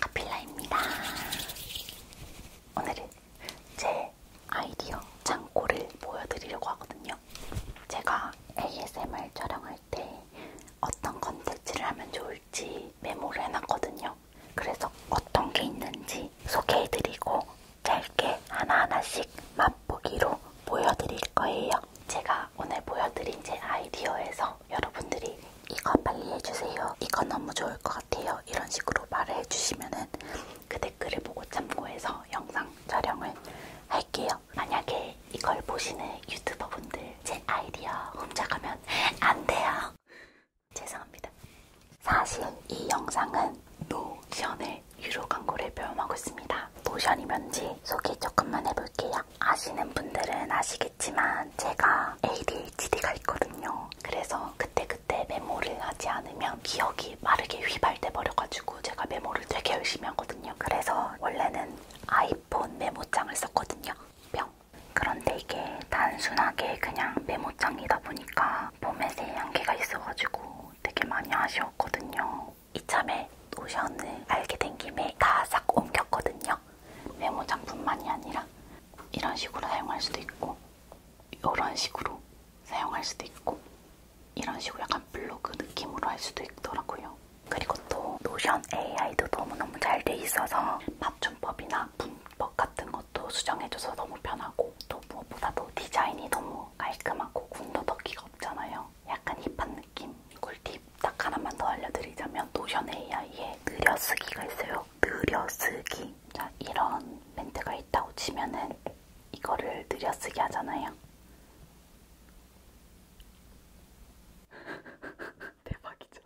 카필라입니다. 오늘은 제 아이디어 창고를 보여드리려고 하거든요. 제가 ASMR 촬영할 때 어떤 컨텐츠를 하면 좋을지 메모를 해놨거든요. 그래서 어떤 게 있는지 소개해드리고 짧게 하나하나씩 맛보기로 보여드릴 거예요. 제가 오늘 보여드린 제 아이디어에서 여러분들이 이거 빨리 해주세요. 이거 너무 좋을 것 같아요. 이런 식으로 말을 해주시면은 그 댓글을 보고 참고해서 영상 촬영을 할게요. 만약에 이걸 보시는 유튜버분들 제 아이디어 훔쳐가면 안 돼요. 죄송합니다. 사실 이 영상은 노션을 유료 광고를 배워먹고 있습니다. 노션이 뭔지 소개 조금만 해볼게요. 아시는 분들은 아시겠지만 제가 ADHD가 있거든요. 그래서 그때그때 그때 메모를 하지 않으면 기억이 마르게 휘발돼 버려가지고 제가 메모를 되게 열심히 하거든요. 그래서 원래는 아이폰 메모장을 썼거든요. 뿅. 그런데 이게 단순하게 그냥 메모장이다 보니까 포맷에 한계가 있어가지고 되게 많이 아쉬웠거든요. 이참에 노션을 알게 된 김에 다 싹 옮겼거든요. 메모장뿐만이 아니라 이런 식으로 사용할 수도 있고 이런 식으로 사용할 수도 있고 이런 식으로 약간 블로그 느낌으로 할 수도 있더라고요. 그리고 또 노션 AI도 너무너무 잘 돼 있어서 맞춤법이나 문법 같은 것도 수정해줘서 너무 편하고 또 무엇보다도 디자인이 너무 깔끔하고 군도 덕기가 없잖아요. 약간 힙한 느낌. 꿀팁 딱 하나만 더 알려드리자면 노션 AI에 그려쓰기가 있어요. 느려쓰기 자, 이런 멘트가 있다고 치면은 이거를 느려쓰기 하잖아요. 대박이죠.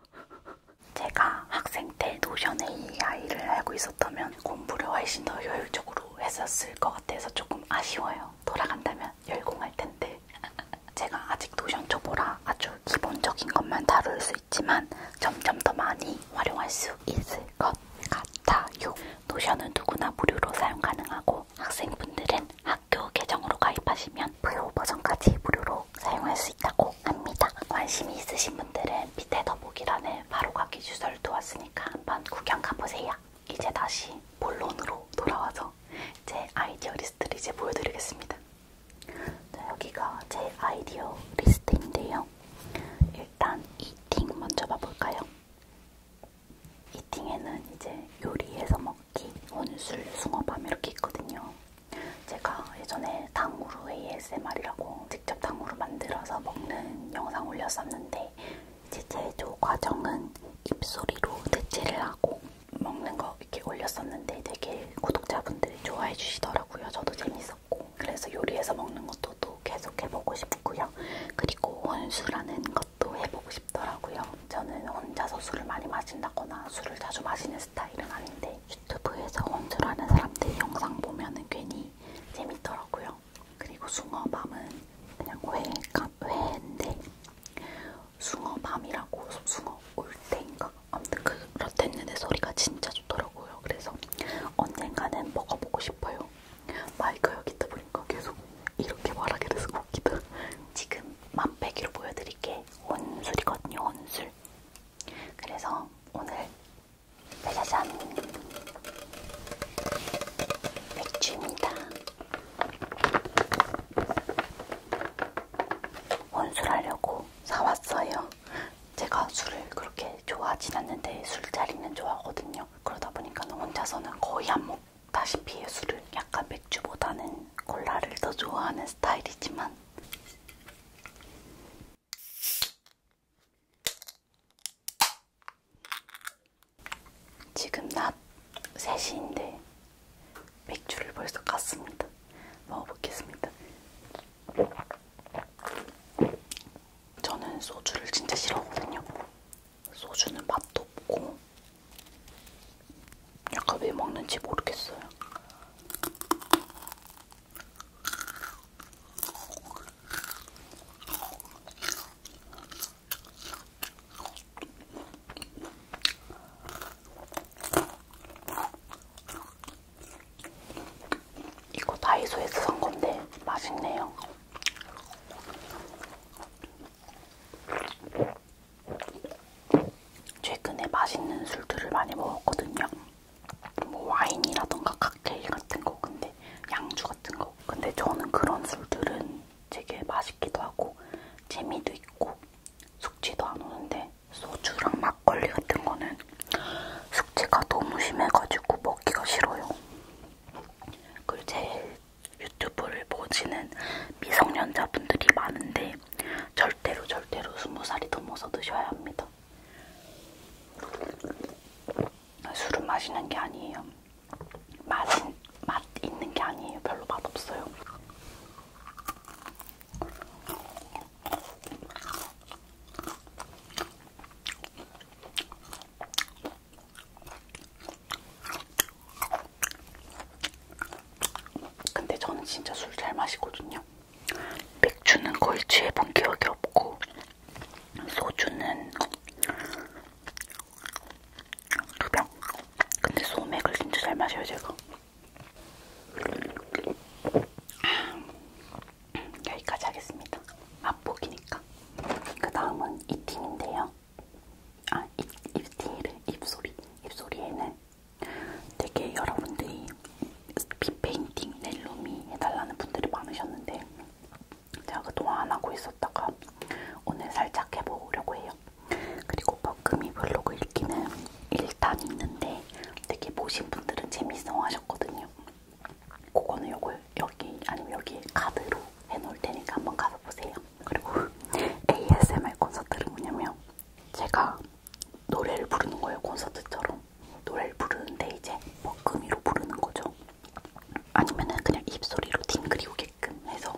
제가 학생 때 노션 AI를 알고 있었다면 공부를 훨씬 더 효율적으로 했었을 것 같아서 조금 아쉬워요. 돌아간다면 열공할 텐데. 제가 아직 노션 초보라 아주 기본적인 것만 다룰 수 있지만 점점 더 많이 활용할 수 있을 것 같아요. 노션은 누구나 무료로 사용 가능하고 학생분들은 학교 계정으로 가입하시면 무료 버전까지 무료로 사용할 수 있다고 합니다. 관심이 있으신 분들은 밑에 더보기란에 바로 가기 주소를 두었으니까 한번 구경 가보세요. 이제 다시 본론으로 돌아와서 제 아이디어 리스트를 이제 보여드리겠습니다. 자, 여기가 제 아이디어 리스트인데요. 일단 이팅 먼저 봐볼까요? 이팅에는 이제 요리해서 먹기, 혼술, 숭어밤 이렇게 있거든요. 제가 예전에 당후루 ASMR이라고 직접 당후루 만들어서 먹는 영상 올렸었는데 이제 제조 과정은 입소리로 대체를 하고 먹는 거 이렇게 올렸었는데 되게 구독자분들이 좋아해 주시더라고요. 저도 재밌었고 그래서 요리해서 먹는 것도 또 계속 해보고 싶고요. 그리고 혼술하는 것도 해보고 싶더라고요. 저는 혼자서 술을 많이 마신다거나 술을 자주 마시는 스타일은 아닌데 유튜브에서 혼술하는 사람들 영상 보면은 괜히 재밌더라고요. 그리고 숭어밤은 그냥 회가 회인데 숭어밤이라고 숭어 올때인가 먹다가 아무튼 그, 그렇댔는데 소리가 진짜 좋더라고요. 그래서 언젠가는 먹어보고 싶어요. 마이크 그 여기 있다 보니까 계속 이렇게 말하게 돼서 웃기다. 지금 맛배기로 보여드릴게 온술이거든요. 온술. 그래서 오늘 짜자잔 맥주입니다. 온술하려고 사왔어요. 제가 술을 그렇게 좋아하진 않는데 술자리는 좋아하거든요. 그러다 보니까 혼자서는 거의 안 먹다시피 술을 약간 맥주보다는 콜라를 더 좋아하는 스타일이지만 지금 낮 3시인데 맥주를 벌써 깠습니다. 먹어보겠습니다. 저는 소주를 진짜 싫어하거든요. 소주는 맛도 없고 약간 왜 먹는지 모르겠어요. 이거 다이소에서 산 건데 맛있네요. 최근에 맛있는 술들을 많이 먹었거든요. 뭐 와인이라던가 칵테일 같은 거, 근데 양주 같은 거. 근데 저는 그런 술들은 되게 맛있기도 하고 재미도 있고 숙취도 안 오는데 소주랑 막걸리 같은 거는 숙취가 너무 심해가지고 먹기가 싫어요. 그리고 제 유튜브를 보시는 미성년자분들이 많은데 절대로 절대로 20살이 넘어서 드셔야 합니다. 술은 마시는 게 아니에요. 맛은, 맛 있는 게 아니에요. 별로 맛없어요. 근데 저는 진짜 술 잘 마시거든요. 맥주는 거의 취해본 기억이 없고, 소주는 두 병. 근데 소맥을 진짜 잘 마셔요, 제가. 여기까지 하겠습니다. 맛보기니까. 그 다음은 아, 이 팀인데요. 아, 입, 입티를 입소리. 입소리에는 되게 여러분들이 빗페인팅 넬로미 해달라는 분들이 많으셨는데 제가 그동안 안 하고 있었다가 오늘 살짝 해보려고 해요. 그리고 버금이 블로그 읽기는 일단 있는데 되게 보신 분들은 재밌어 하셨거든요. 그거는 요걸 여기 아니면 여기 카드로 해놓을 테니까 한번 가서 보세요. 그리고 ASMR 콘서트는 뭐냐면 제가 노래를 부르는 거예요. 콘서트처럼 노래를 부르는데 이제 먹금이로 뭐 부르는 거죠. 아니면은 그냥 입소리로 팅그리오게끔 해서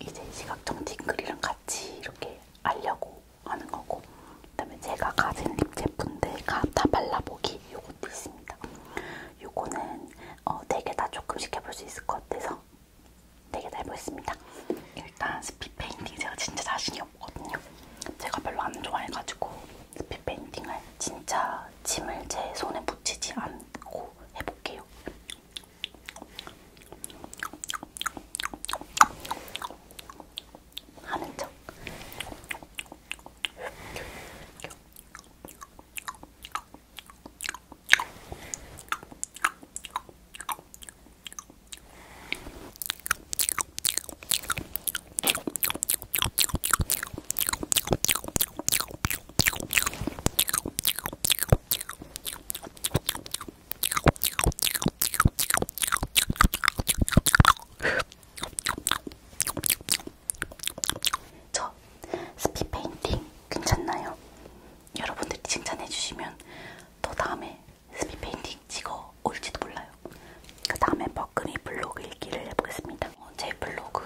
이제 시각적 팅그리랑 같이 이렇게 알려고 하는 거고 그다음에 제가 가진 립 제품들 다 발라보기 요것도 있습니다. 요거는 어, 4개 다 조금씩 해볼 수 있을 것 같아서 4개 다 해보겠습니다. 일단 스피 페인팅 제가 진짜 자신이 없거든요. 제가 별로 안 좋아해가지고 스피 페인팅을 진짜 짐을 제 손에 묻히지 않고 해볼게요. 하는 척. 저 스피 페인팅 괜찮나요? 여러분들이 칭찬해주시면 또 다음에 스피 페인팅 찍어 올지도 몰라요. 그 다음에 버금이 블로그 읽기를 해보겠습니다. 어, 제 블로그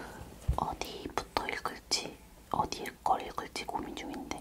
어디부터 읽을지 어디걸 읽을지 고민 중인데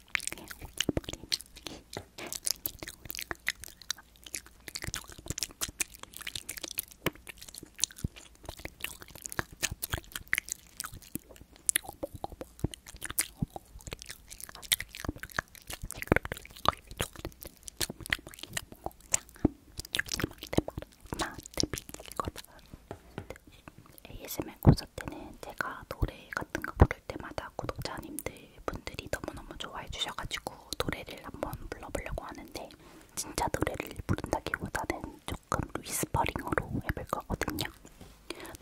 ASMR 콘서트는 제가 노래 같은 거 부르는 어릴 때마다 구독자님들 분들이 너무너무 좋아해 주셔가지고 노래를 한번 불러보려고 하는데 진짜 노래를 부른다기보다는 조금 위스퍼링으로 해볼 거거든요.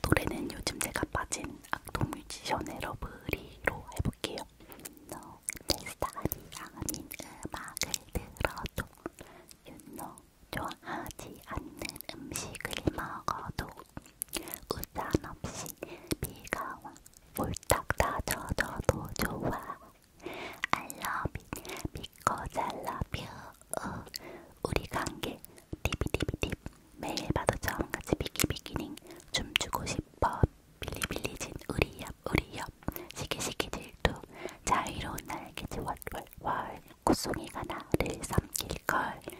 노래는 요즘 제가 빠진 악동 뮤지션의 러브리로 해볼게요. 너내 스타일이 아닌 음악을 들어도 윤노 좋아하지 않는 음식을 먹어도 우산 없이 비가 와 홀딱 다 젖어도 좋아 I love it because I love you 우리 관계 디비디비딥 매일 봐도 처음 같이 비키비키닝 춤추고 싶어 빌리빌리진 우리 옆 우리 옆 시기시기 질투 자유로운 날개지 월월월 꽃송이가 나를 삼킬걸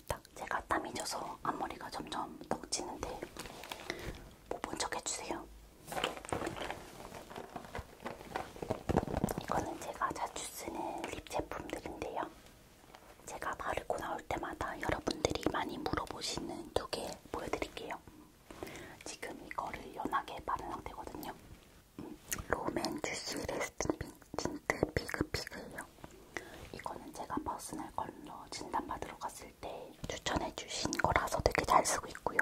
모르겠다. 제가 땀이 져서 앞머리가 점점 떡지는데 못본척 뭐 해주세요. 이거는 제가 자주 쓰는 립 제품들인데요. 제가 바르고 나올 때마다 여러분들이 많이 물어보시는 두 개 보여드릴게요. 지금 이거를 연하게 바른 상태거든요. 음, 로맨 주시 레스팅 틴트 피그피그 있고요. 이거는 제가 퍼스널 컬러 진단받으러 갔을 때 추천해주신 거라서 되게 잘 쓰고 있고요.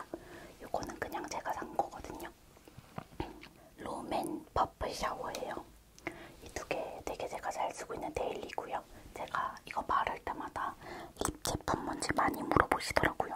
이거는 그냥 제가 산 거거든요. 롬앤 퍼플 샤워예요. 이 두 개 되게 제가 잘 쓰고 있는 데일리고요. 제가 이거 바를 때마다 립 제품 뭔지 많이 물어보시더라고요.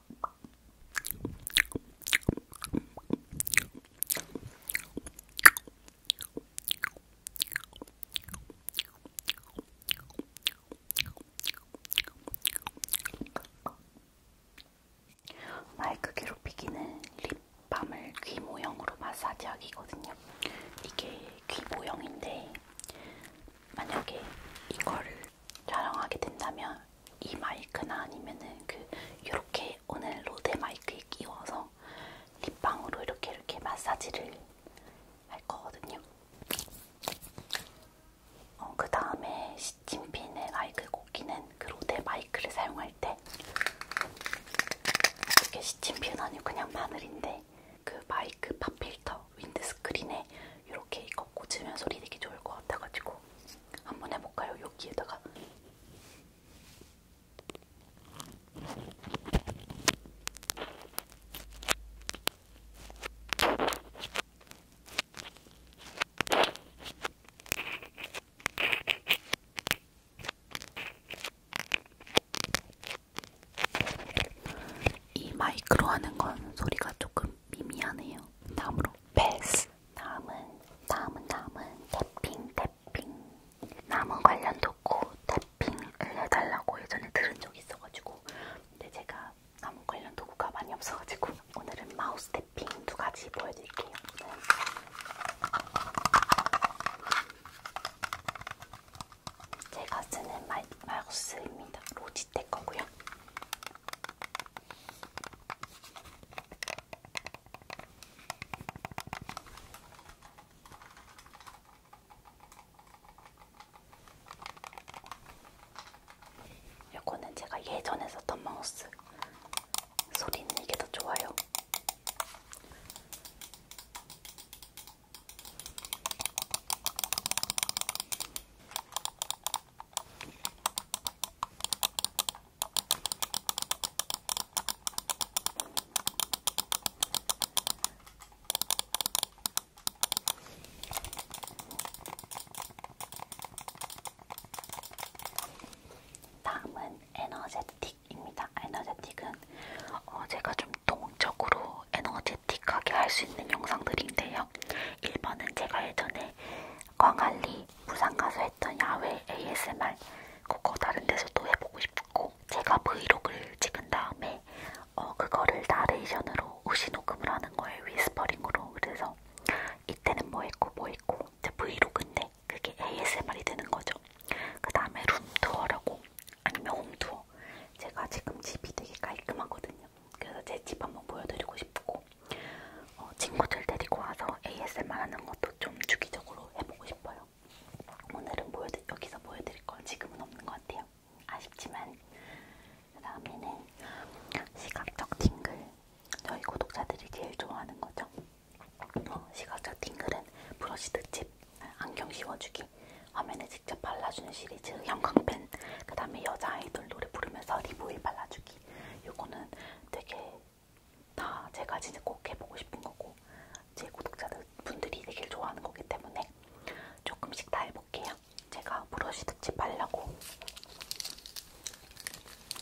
마이크 괴롭히기는 립밤을 귀 모형으로 마사지하기거든요. 이게 귀 모형인데 만약에 이거를 촬영하게 된다면 이 마이크나 아니면은 그 요렇게 오늘 로데 마이크에 끼워서 립밤으로 이렇게 이렇게 마사지를 할 거거든요. 어, 그 다음에 시침핀의 마이크 꽂기는 그 로데 마이크를 사용할 때 이게 시침핀 아니고 그냥 마늘인데 그 마이크 팝필터 윈드스크린에 이렇게 이거 꽂으면 소리 되게 좋을 것 같아가지고 한번 해볼까요? 여기에다가 이 마이크로 하는 건 소리가 조금 미미하네요. 다음으로 패스 다음은 다음은 다음은 탭핑 탭핑 남은 관련 도구 탭핑을 해달라고 예전에 들은 적이 있어가지고 근데 제가 남은 관련 도구가 많이 없어가지고 오늘은 마우스 탭핑 두 가지 보여드릴게요. 제가 쓰는 마이, 마우스입니다. 로지텍 거고요. 요거는 제가 예전에 썼던 마우스 소리는 이게 더 좋아요. 다음은 에너제틱입니다. 에너제틱은 어 제가 좀 동적으로 에너제틱하게 할 수 있는 영상들인데요. 있고요. 1번은 제가 예전에 광안리 부산 가서 했던 야외 ASMR 그거 다른 데서도 해보고 싶고 제가 브이로그를 찍은 다음에 어 그거를 나레이션으로 우시 녹음을 하는 거예요. 위스퍼링으로. 그래서 이때는 뭐 했고 뭐 했고 이제 브이로그인데 그게 ASMR이 되는 거죠. 그 다음에 룸투어라고 아니면 홈투어. 제가 지금 집이 되게 깔끔하거든요. 그래서 제 집 한번 보여드리고 싶고 어, 친구들 데리고 와서 ASMR 하는 것도 좀 주기적으로 해보고 싶어요. 오늘은 보여드, 여기서 보여드릴 건 지금은 없는 것 같아요. 아쉽지만 그 다음에는 시각적 팅글 저희 구독자들이 제일 좋아하는 거죠. 어, 시각적 팅글은 브러쉬 득집, 안경 씌워주기, 화면에 직접 발라주는 시리즈, 형광펜, 그 다음에 여자 아이돌 노래 부르면서 리보일 발라주기 만들기 요거는 되게 다 제가 진짜 꼭 해보고 싶은 거고 제 구독자들 분들이 되게 좋아하는 거기 때문에 조금씩 다 해볼게요. 제가 브러쉬 득지 빨려고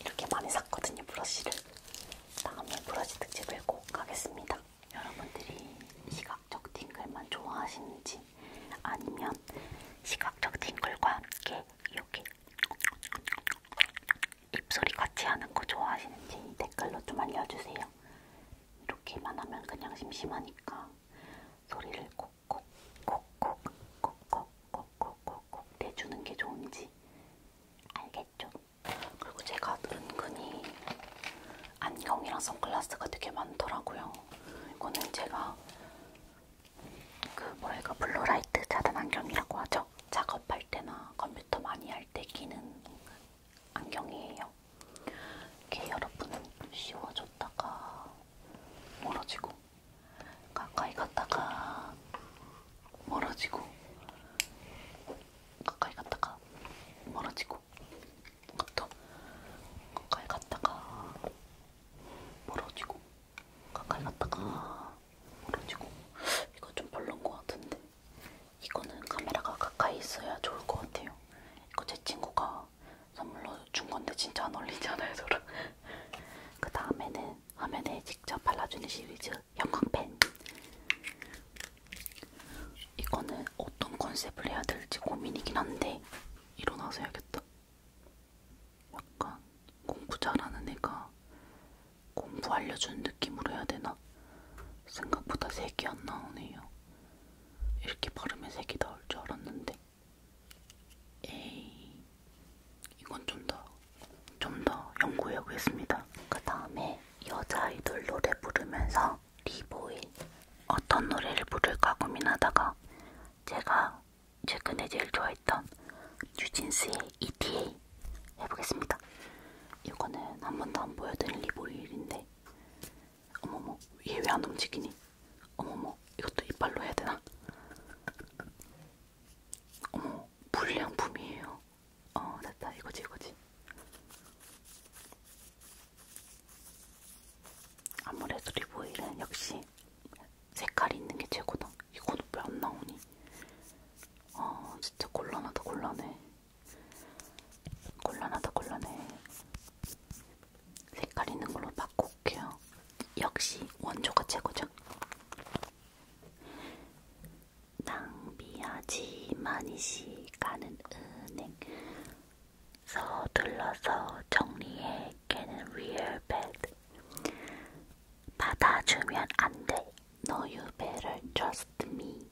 이렇게 많이 샀거든요. 브러쉬를 다음에 브러쉬 득지 들고 가겠습니다. 여러분들이 시각적 팅글만 좋아하시는지 아니면 시각적 팅글과 함께 여기 입소리 같이 하는 거 좋아하시는지 댓글로 좀 알려주세요. 이렇게만 하면 그냥 심심하니까 소리를 콕콕 콕콕 콕콕 콕콕 콕콕 내주는 게 좋은지 알겠죠? 그리고 제가 은근히 안경이랑 선글라스가 되게 많더라고요. 이거는 제가 그 뭐야 이거 그 블루라이트 차단 안경이라고 하죠? 작업할 때나 컴퓨터 많이 할 때 끼는 안경이에요. 이게 여러분은 씌워줬다가 멀어지고 그러니까 가까이 갔다가 멀어지고 가까이 갔다가 멀어지고 또 가까이 갔다가 멀어지고 가까이 갔다가 멀어지고 이거 좀 별론 것 같은데 이거는 카메라가 가까이 있어야 좋을 것 같아요 이거 제 친구가 선물로 준 건데 진짜 안 어울리잖아요 저랑 그 다음에는 화면에 직접 발라주는 시리즈 형광펜 이거는 어떤 컨셉을 해야 될지 고민이긴 한데 일어나서 해야겠다 약간 공부 잘하는 애가 공부 알려주는 느낌으로 해야 되나? 생각보다 색이 안 나오네요. 이렇게 바르면 색이 나올 줄 알았는데. 에이, 이건 좀 더, 좀 더 연구해 보겠습니다. 그 다음에 여자 아이돌 노래 부르면서 리보인 어떤 노래를 부를까 고민하다가 제가 최근에 제일 좋아했던 뉴진스의 ETA 해보겠습니다. 이거는 한 번도 안 보여드린 리보일인데 어머머 얘 왜 안 움직이니? 어머머 이것도 이빨로 해야 되나? 어머 불량품이에요. 어 됐다 이거지 이거지. 아무래도 리보일은 역시 색깔이 있는 게 최고다. 이건 왜안 나오니? 아 진짜 곤란하다 곤란해. 곤란하다 곤란해. 색깔 있는 걸로 바꿔올게요. 역시 원조가 최고죠. 낭비하지만이 시간은 은행. 서둘러서 정리해 깨는 real bad. 받아주면 안 돼. No, you better trust me.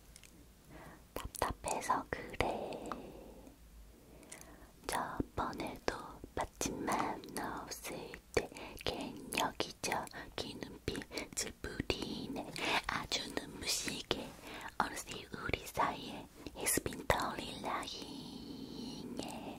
답답해서 그래. 저번에도 받침만 나왔을 때 갱년기적인 눈빛을 부리네. 아주 눈부시게 어느새 우리 사이에 He's been totally lying.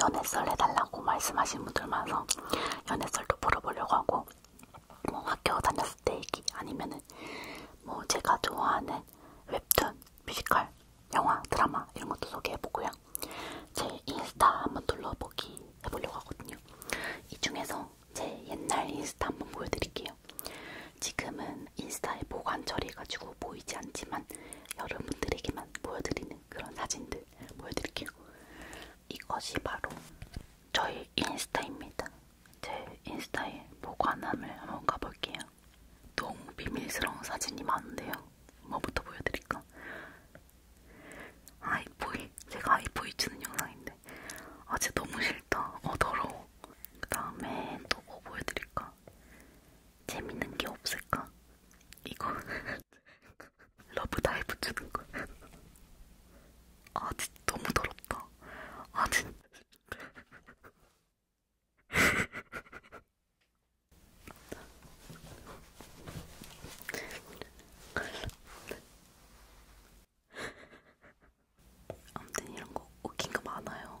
연애썰 해달라고 말씀하신 분들 많아서 연애썰도 풀어보려고 하고 뭐 학교 다녔을 때 얘기 아니면은 뭐 제가 좋아하는 웹툰, 뮤지컬, 영화, 드라마 이런 것도 소개해보고요. 제 인스타 한번 둘러보기 해보려고 하거든요. 이 중에서 제 옛날 인스타 한번 보여드릴게요. 지금은 인스타에 보관 처리해가지고 보이지 않지만 여러분들에게만 보여드리는 그런 사진들 보여드릴게요. 이것이 바로 저희 인스타입니다. 제 인스타에 보관함을 한번 가볼게요. 너무 비밀스러운 사진이 많은데요. 뭐부터 보여드릴까? 아이보이 제가 아이보이 주는 영상인데 아 진짜 너무 싫다. 어 더러워. 그 다음에 또 뭐 보여드릴까? 재밌는 게 없을까? 이거 러브다이브 주는 거. 아 진짜 너무 더럽다. 아 진짜. 아무튼 이런 거 웃긴 거 많아요.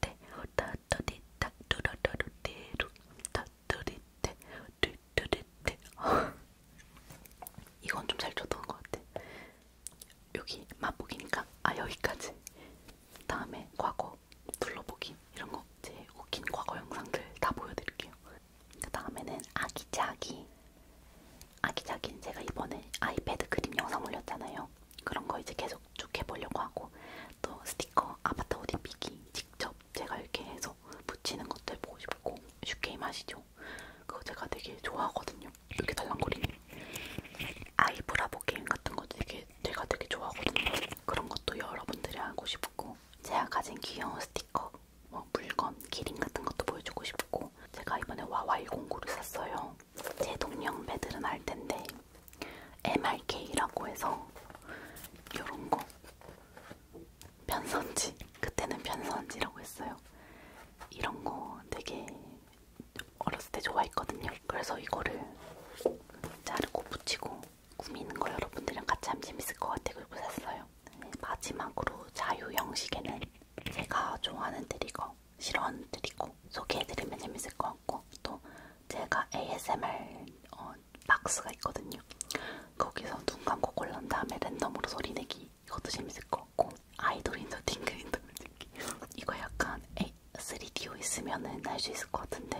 띠띠 따따띠따 뚜라따루띠루 따뚜리띠 뚜뚜리띠 이건 좀잘 줬던 것 같아 여기 맛보기니까 아 여기까지 다음에 과거 둘러보기 이런 거제 웃긴 과거 영상들 다 보여드릴게요 그 다음에는 아기자기 아기자기는 제가 이번에 아이패드 그림 영상 올렸잖아요 그런 거 이제 계속 쭉 해보려고 하고 또 스티커 아바타 옷 입히기 직접 제가 이렇게 해서 붙이는 것들 보고 싶고 슈게임 아시죠? 그거 제가 되게 좋아하거든요. 이렇게 달랑거리는 아이브라보 게임 같은 거 되게 제가 되게 좋아하거든요. 그런 것도 여러분들이 하고 싶고 제가 가진 귀여운 스티커, 뭐 물건, 기린 같은 것도 보여주고 싶고 제가 이번에 와와이 공구를 샀어요. 제 동년배들은 알 텐데 MRK라고 해서 요런 거 편선지 그때는 편선지라고 했어요. 이런 거 되게 어렸을 때 좋아했거든요. 그래서 이거를 자르고 붙이고 꾸미는 거 여러분들이랑 같이 하면 재밌을 것 같아요. 그리고 샀어요. 네, 마지막으로 자유 형식에는 제가 좋아하는 드리거, 싫어하는 드리거 소개해드리면 재밌을 것 같고 또 제가 ASMR 어, 박스가 있거든요. 거기서 눈 감고 골른 다음에 랜덤으로 소리 내기 이것도 재밌을 것 같고 아이돌인도 딩글인도 그 느낌 이거 약간 A, 3D로 있으면은 할 수 있을 것 같은데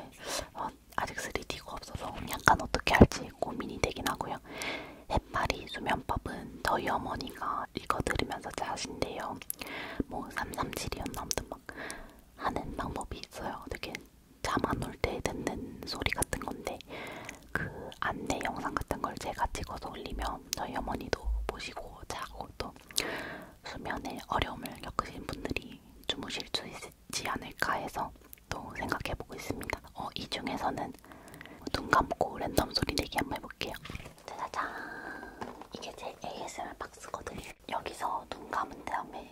어, 아직 3D가 없어서 약간 어떻게 할지 고민이 되긴 하고요. 해파리 수면법은 저희 어머니가 읽어드리면서 짜신데요. 뭐 337이었나 아무튼 막 하는 방법이 있어요. 되게 잠 안 올 때 듣는 소리 같은 건데 그 안내 영상 같은 걸 제가 찍어서 올리면 저희 어머니도 보시고 자고 또 수면에 어려움을 겪으신 분들이 주무실 수 있지 않을까 해서 또 생각해보고 있습니다. 어, 이 중에서는 눈 감고 랜덤 소리 내기 한번 해볼게요. 짜자잔! 이게 제 ASMR 박스거든요. 여기서 눈 감은 다음에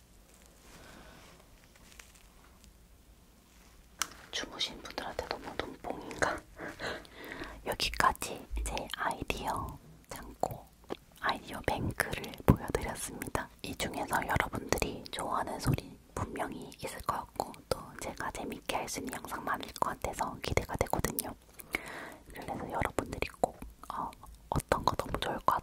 주무신 분들한테 너무 눈뽕인가? 여기까지 제 아이디어 창고 아이디어 뱅크를 보여드렸습니다. 이 중에서 여러분들이 좋아하는 소리 분명히 있을 것 같고 또 제가 재밌게 할 수 있는 영상 많을 것 같아서 기대가 되거든요. 그래서 여러분들이 꼭 어, 어떤 거 너무 좋을 것